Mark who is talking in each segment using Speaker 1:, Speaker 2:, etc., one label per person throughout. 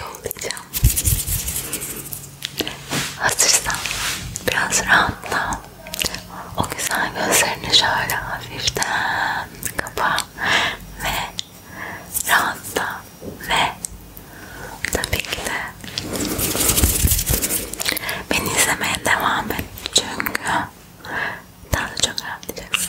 Speaker 1: yollayacağım. Hazırsan biraz rahatla. O güzel gözlerini şöyle hafiften kapa ve rahatla ve tabii ki de beni izlemeye devam et çünkü daha da çok rahatlayacaksın.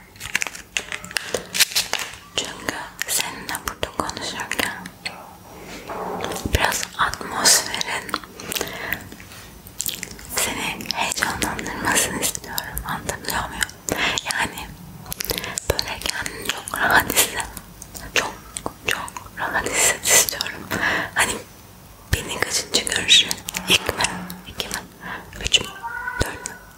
Speaker 1: Çünkü seninle burada konuşurken biraz atmosferin seni heyecanlandırmasını istiyorum. Anlatabiliyor muyum? Yani böyle kendimi çok rahat hisset. Çok çok rahat hisset istiyorum. Hani benim kaçıncı görüşü? İlk mi? İki mi? Üç mü? Dört mü?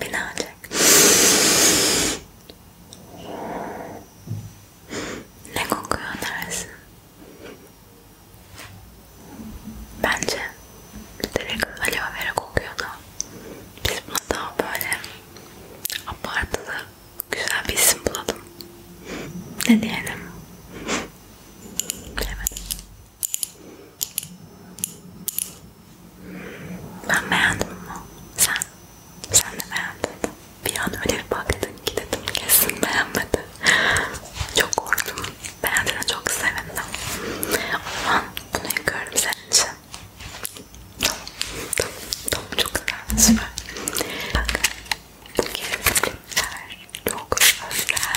Speaker 1: Beni alacak. ne kokuyor dersin? Bence direkt aloe vera kokuyor da biz buna daha böyle abartılı güzel bir isim bulalım. Ne diyelim? evet. Ben beğendim ama sen, sen de beğendin. Bir an öyle bir baktın ki dedim kesin beğenmedi. Çok korktum. Beğendiğine çok sevindim. O zaman bunu yıkıyorum senin için. Tamam, tamam, tamam çok güzel. Süper. Bak, bu kere çok özel. Çok özel.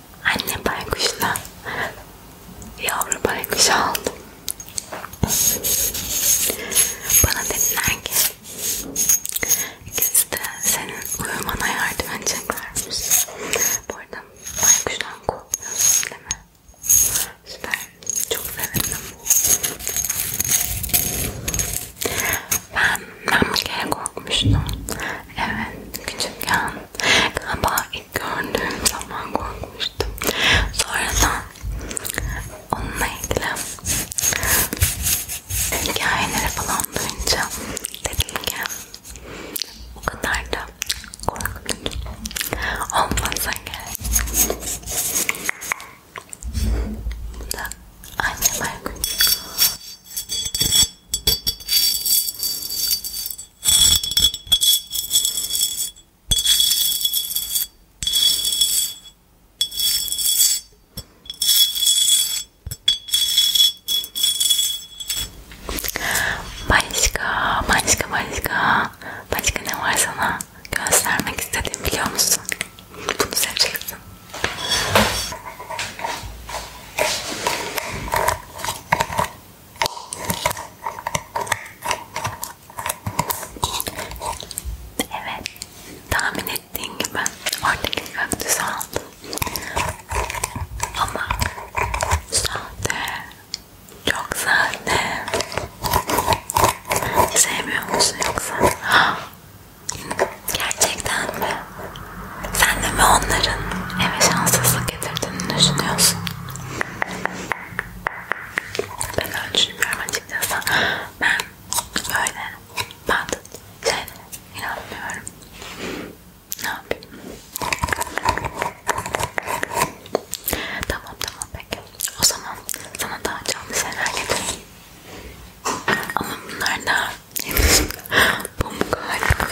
Speaker 1: anne baykuşla yavru baykuş aldım. Bana dediler ki ikisi de senin uyumana yardım edeceklermiş. Bu arada baykuştan korkuyorsun değil mi? Süper. Çok sevindim. Ben namlikeye korkmuştum. Evet, küçükken galiba ilk gördüğüm zaman korkmuştum. Sonradan onunla ilgili hikayeleri falan duyunca dedim ki o kadar da korkunç olmasa gerek. Bu da annem her gün Başka, başka, başka, başka ne var sana göstermek istediğimi biliyor musun? Bunu seveceksin. Evet, tahmin ettiğin gibi oradaki kaktüs aldım. Ama sahte, çok sahte. Sevmiyor musun yoksa? Gerçekten mi? Sen de mi onların eve şanssızlık getirdiğini düşünüyorsun? Ben öyle düşünmüyorum açıkçası. Ben böyle patat şeylere inanmıyorum. Ne yapayım? Tamam tamam peki. O zaman sana daha canlı şeyler getireyim. Ama bunlar da bu mu galiba?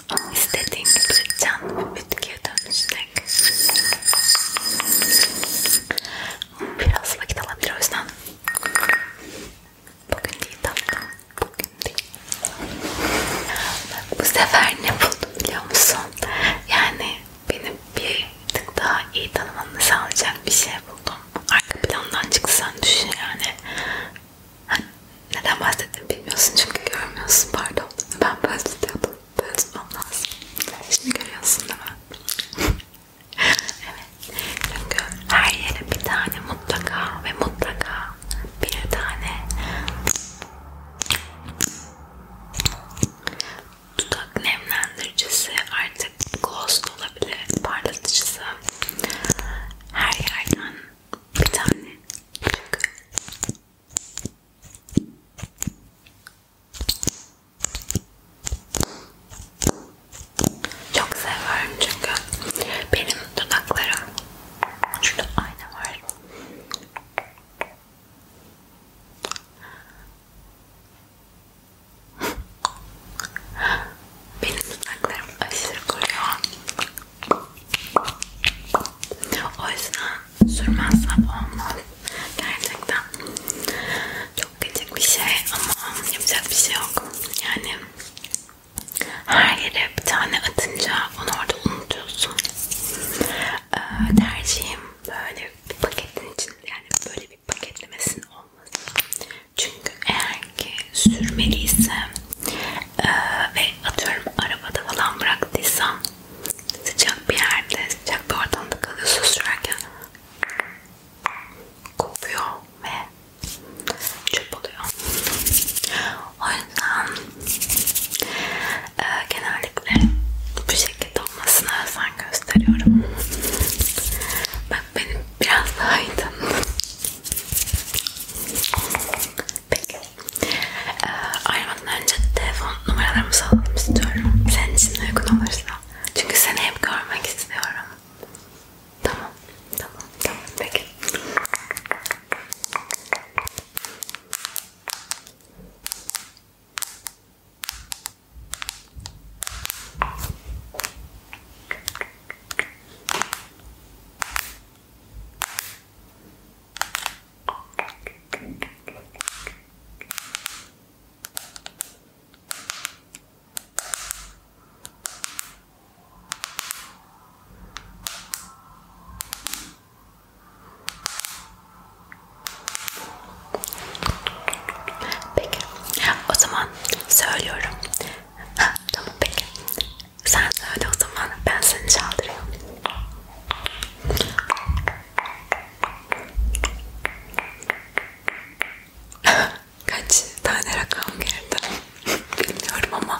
Speaker 1: İstediğin gibi canlı bir bitkiye dönüşecek. Biraz vakit alabilir o yüzden. Bugün değil tatlım. Bugün değil. Bak, bu sefer ne buldum biliyor musun? Yani benim bir tık daha iyi tanımanı sağlayacak bir şey buldum. Arka plandan çıksan düşün yani. Hani neden bahsettiğimi bilmiyorsun çünkü görmüyorsun pardon. Ben bahsediyordum. Böyle tutmam lazım. Şimdi görüyorsun değil mi? evet. Çünkü her yere bir tane mutlaka ve mutlaka bir tane dudak nemlendiricisi artık gloss olabilir parlatıcısı her yerden bir tane çünkü çok severim çünkü benim dudaklarım şurada ayna var. Benim dudaklarım aşırı kuruyor. O yüzden sürmezsem olmaz. Gerçekten çok gıcık bir şey ama yapacak bir şey yok. Yani her yere bir tane atınca onu orada unutuyorsun. Ee, tercihim böyle bir paketin içinde yani böyle bir paketlemesinin olması. Çünkü eğer ki sürmeliyse e, ve atıyorum arabada falan bıraktıysam Sıcak bir yerde, sıcak bir ortamda kalıyorsun sürerken kokuyor ve çöp oluyor. O yüzden e, genellikle bu şekilde olmasına özen gösteriyorum. Bak benim biraz daha aydın. Peki. Ee, ayrılmadan önce telefon numaralarımı soralım istiyorum. Senin için uygun olursa. Çünkü seni hep görmek istiyorum. Tamam. Tamam. Tamam. Peki. Peki, o zaman söylüyorum. Ha, tamam peki. Sen söyle o zaman, ben seni çaldırıyorum. Kaç tane rakam girdi bilmiyorum ama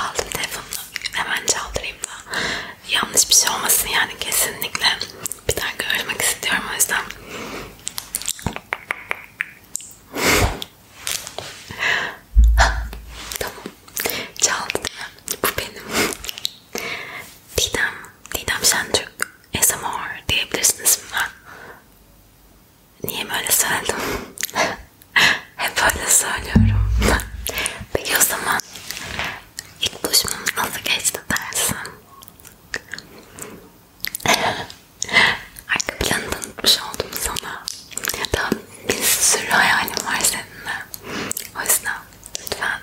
Speaker 1: aldım telefonunu hemen çaldırayım da yanlış bir şey olmasın yani kesinlikle bir daha görmek istiyorum o yüzden tamam Çaldı değil mi? Bu benim. Didem, Didem Şentürk ASMR diyebilirsiniz ben. Niye böyle söyledim? Hep öyle söylüyorum. Peki o zaman ilk buluşmamız nasıl geçti dersin? Arka planı tanıtmış oldum sana. Daha bir sürü hayalim var seninle. O yüzden lütfen